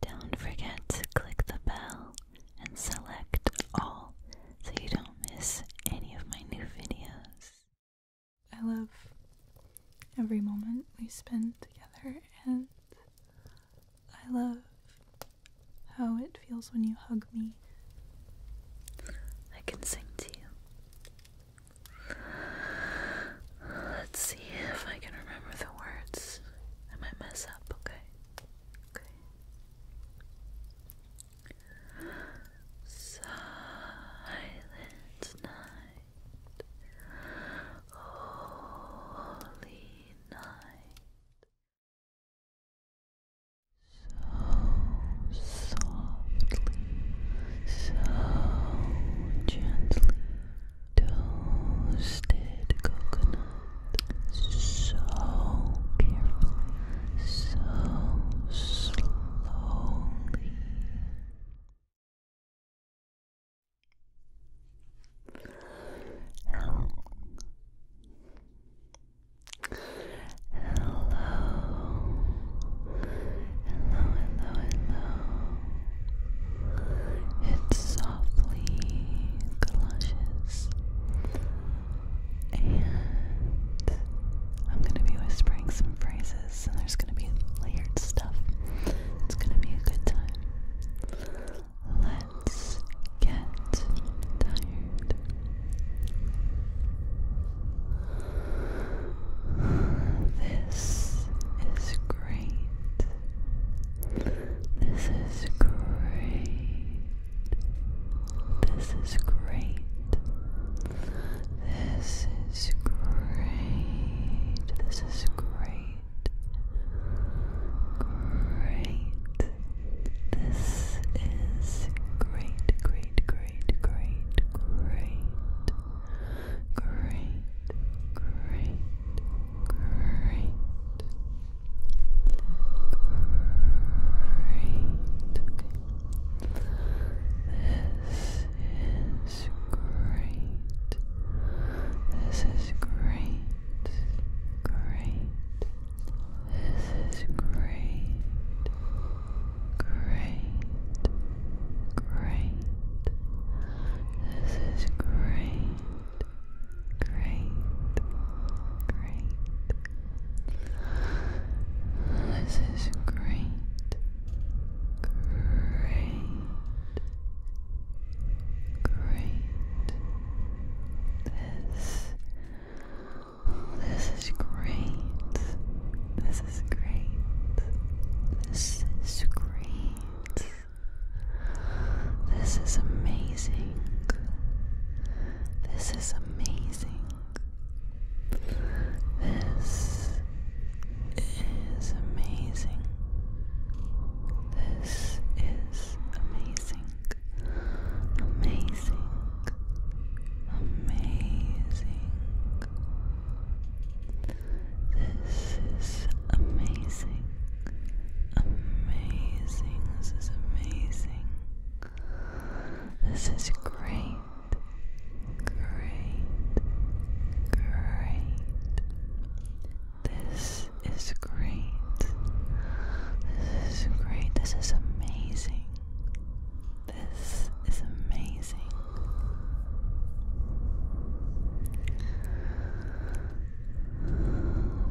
Don't forget to click the bell and select all so you don't miss any of my new videos. I love every moment we spend together, and I love how it feels when you hug me. I can sing to you. Let's see if I can remember the words. I might mess up, okay? Okay. Silent night. Holy night. So softly, so gently, toasted coconut so carefully, so slowly. Hello. Hello. Hello, hello, it softly clushes, and I'm going to be whispering some phrases, and there's going to be layered stuff. It's going to be a good time. Let's get tired. This is great. This is great. This is great. This is great. This is great. Great. This is great, great, great, great, great. Great, great, Great. This is great. This is great. Great. This is great. Great. Great. This is great great, great. This is great, great, great. This, this is great. This is great. This is great. This is amazing. This is amazing. This is amazing. This is amazing. Amazing. Amazing. This is amazing. Amazing. This is amazing. This is great. Great. Great. This is great. This is great. This is amazing. This is amazing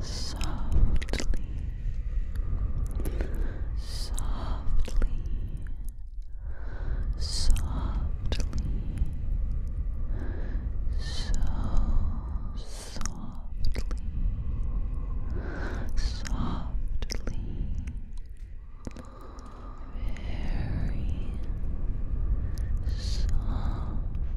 softly, softly, softly, so softly, softly, very softly.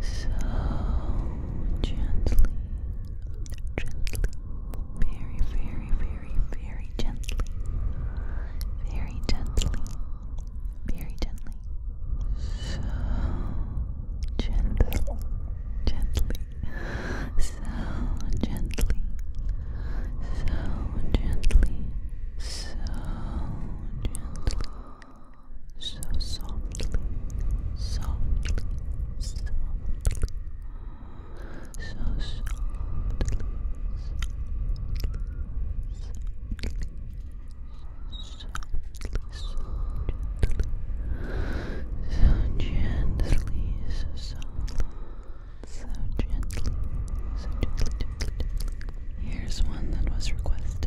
So gently, gently, very, very, very, very gently, very gently, very gently, so gently, gently, so gently, so gently. So gently so softly, softly, softly, so softly, so gently, so softly, so gently, so gently. Here's one that was requested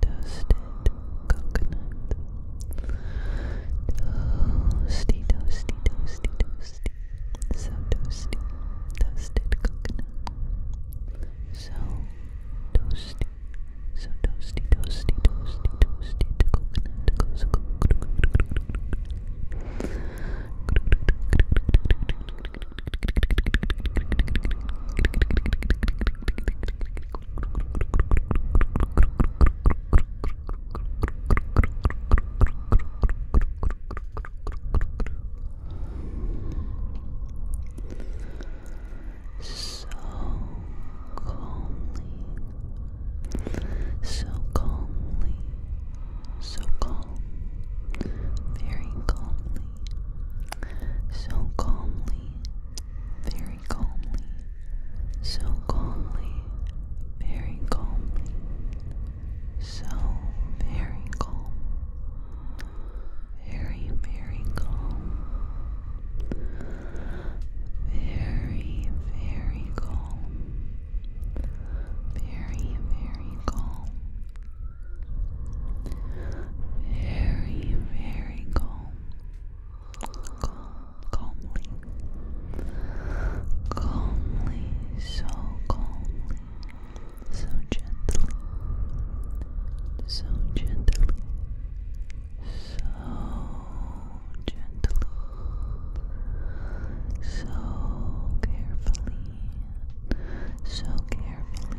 Toasted coconut. Toasty, toasty, toasty, toasty. So toasty. Toasted coconut. So toasty. So toasty, toasty, toasty, toasty. The coconut goes coconut. So calmly, so calmly, so calm, very calmly so calmly, very calmly, so calmly, very calmly, so very calm, very, very calm, very, very calm. Very, very calm. Very, very calm. calmly. Calmly, so calmly. So gently. So gently. So gently. So carefully. So carefully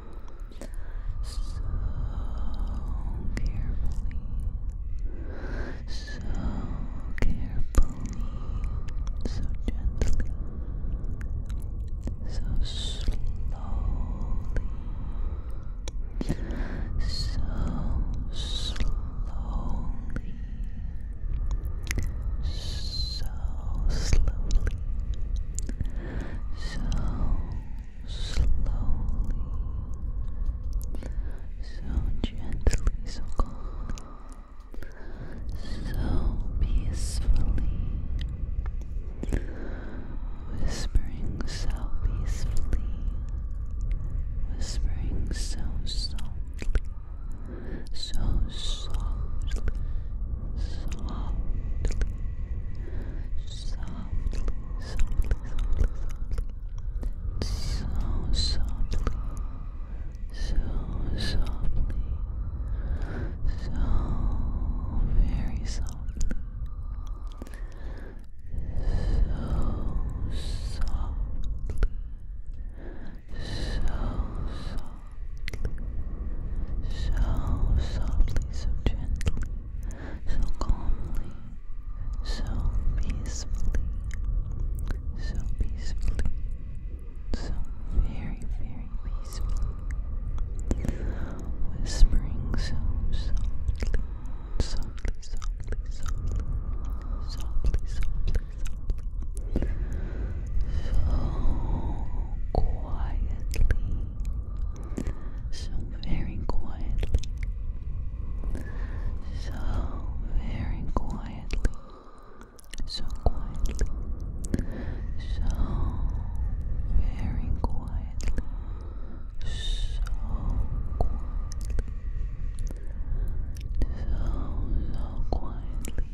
so carefully, so carefully, so gently, so slowly, so slowly. So slowly, so slowly, so gently, so calm, so peacefully, whispering so peacefully, whispering so softly, so softly, softly softly, softly, softly, softly. So softly, so softly, so very softly, so softly. So softly, so softly, so gently, so calmly, so peacefully, so peacefully, so very, very peacefully, whispering so softly, softly, softly, softly, softly, softly, softly, so quietly. So so very quietly, so very quietly, so quietly, so very quietly, so quietly, so so quietly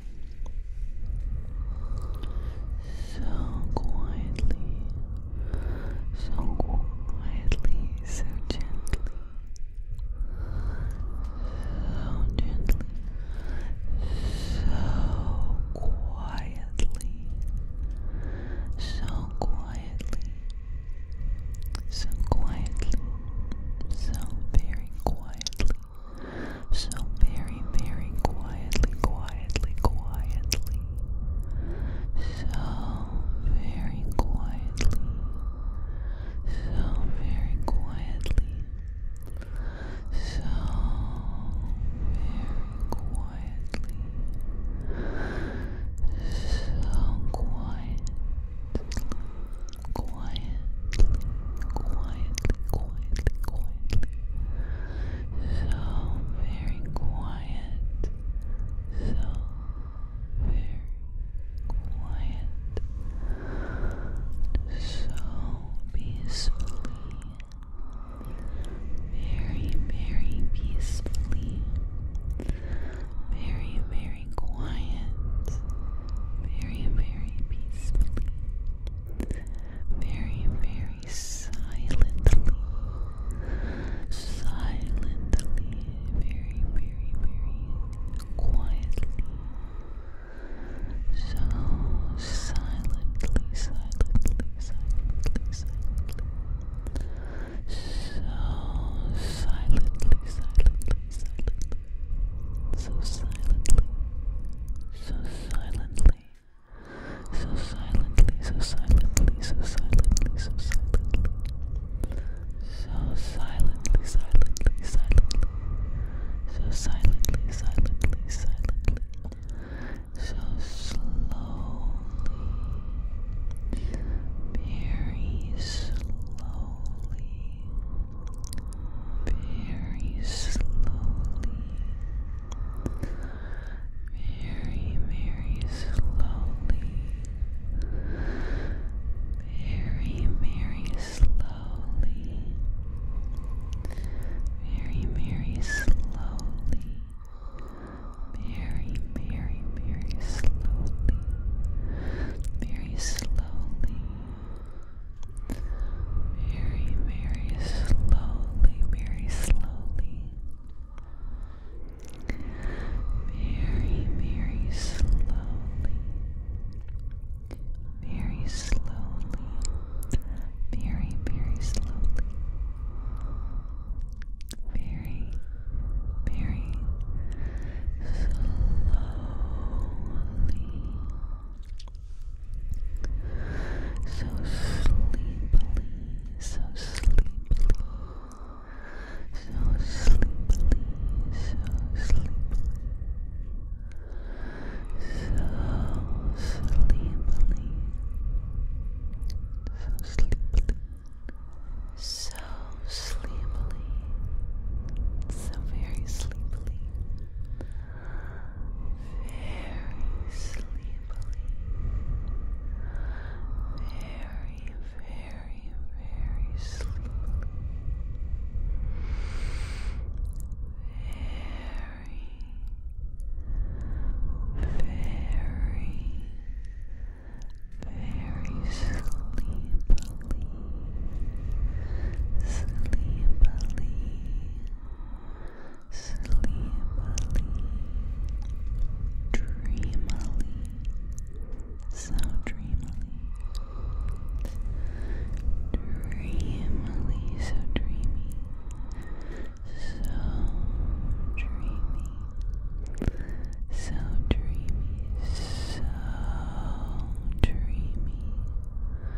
so quietly, so quietly, so gently, so gently, so quietly, so quietly, so quietly, so very quietly, so very, very quietly, quietly quietly, quietly, so very quietly, so very quietly, so very quietly, so quiet. Quietly, quietly, quietly, quietly, so very quiet, so very quiet, so peacefully, very, very peacefully, very, very quiet, very, very peacefully. Very, very silently, silently, very, very, very quietly. So silently, silently, silently, silently. So silently, silently, silently. So silently, so silently. So silently, so silently, so silently, so silently. So silently, silently, silently. So silently, silently, silently. So slowly. Very slowly. Very slowly very, very slowly, very, very slowly, very, very slowly, very, very, very slowly, very slowly. Very, very slowly, very slowly, slowly, very, very slowly, very slowly, very, very slowly, very, very Slowly, so sleepily, so sleepily, so sleepily, so sleepily, so sleepily, so sleepily. So sleepily, so very sleepily, very sleepily, very, very, very sleepily, very, very, very sleepily, sleepily sleepily, dreamily, so dreamily, dreamily, so dreamy, so dreamy, so dreamy. So dreamy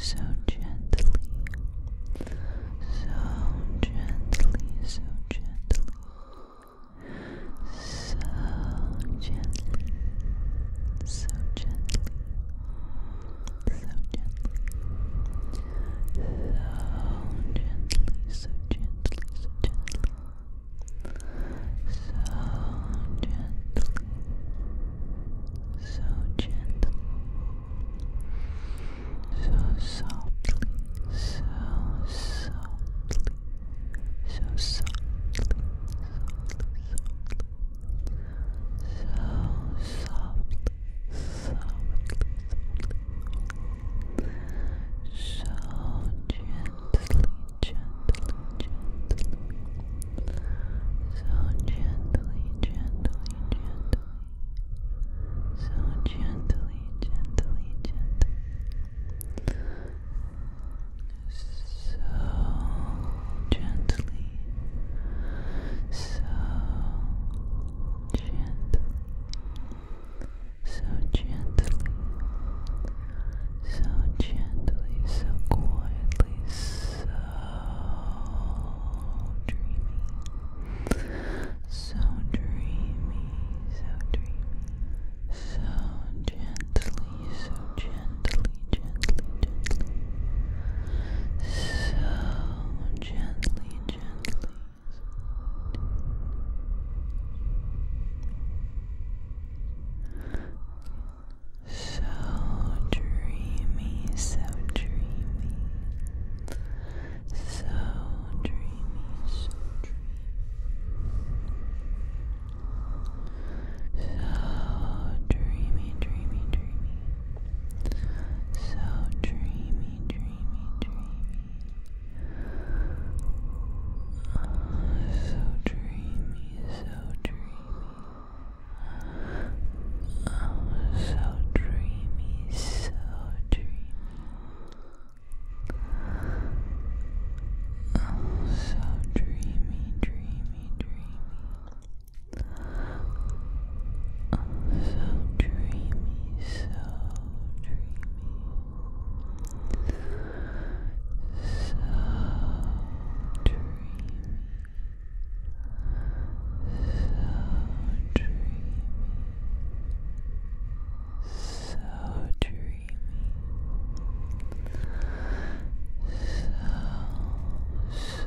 so dreamy, dreamy. So quietly, so gently, so gently, so gently. So gently, so gently, so gently, so gently, so gently, so gently, so gently, so gently, so softly, so softly, so softly, softly, softly softly, soft. so gently, gently, gently, so gently, gently, gently. So gently, gently, gently. So gently, so gently, so gently, so gently, so quietly, so dreamy, so dreamy, so dreamy, so gently, so gently gently, gently, gently. So gently, gently. So dreamy, so dreamy. So dreamy, so dreamy. So dreamy, dreamy, dreamy. So dreamy, dreamy, dreamy. so dreamy, so dreamy. Oh, so dreamy, so dreamy. Oh, so dreamy, dreamy, dreamy so dreamy, so dreamy, so dreamy, so dreamy, so dreamy, so, so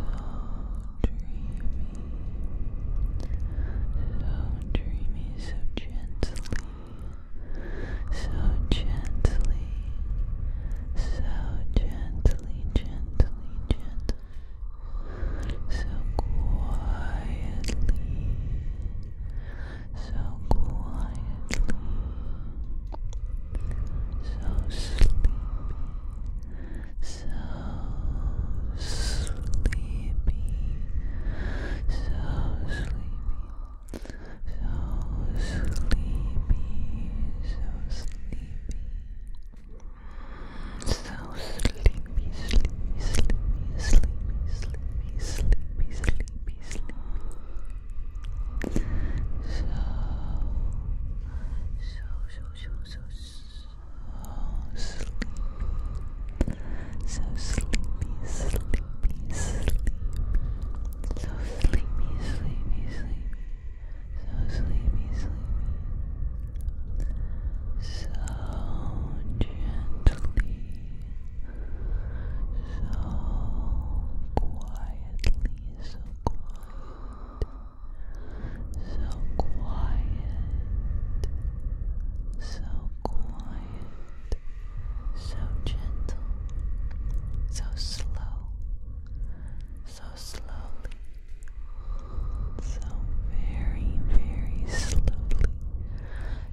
dreamy, so gently, so gently, so gently, gently, gently, so quietly, so quietly, so sleepy so sleepy, so sleepy, so sleepy, so sleepy. So sleepy, sleepy, sleepy, sleepy, sleepy, sleepy, sleepy, So, so so, so, so, so sleepy. So sleepy, sleepy, sleepy. So sleepy, sleepy, sleepy. So sleepy, sleepy. So gently. So quietly, so quiet so quiet, so quiet, so gentle, so slow, so slowly, so very, very slowly,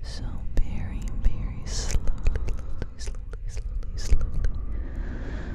so very, very slowly, slowly, slowly, slowly, slowly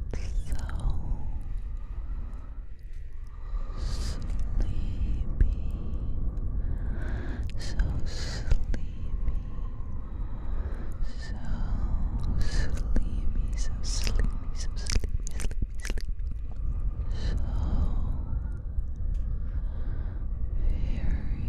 so sleepy, so sleepy, so sleepy, so sleepy, so sleepy, sleepy, sleepy, so very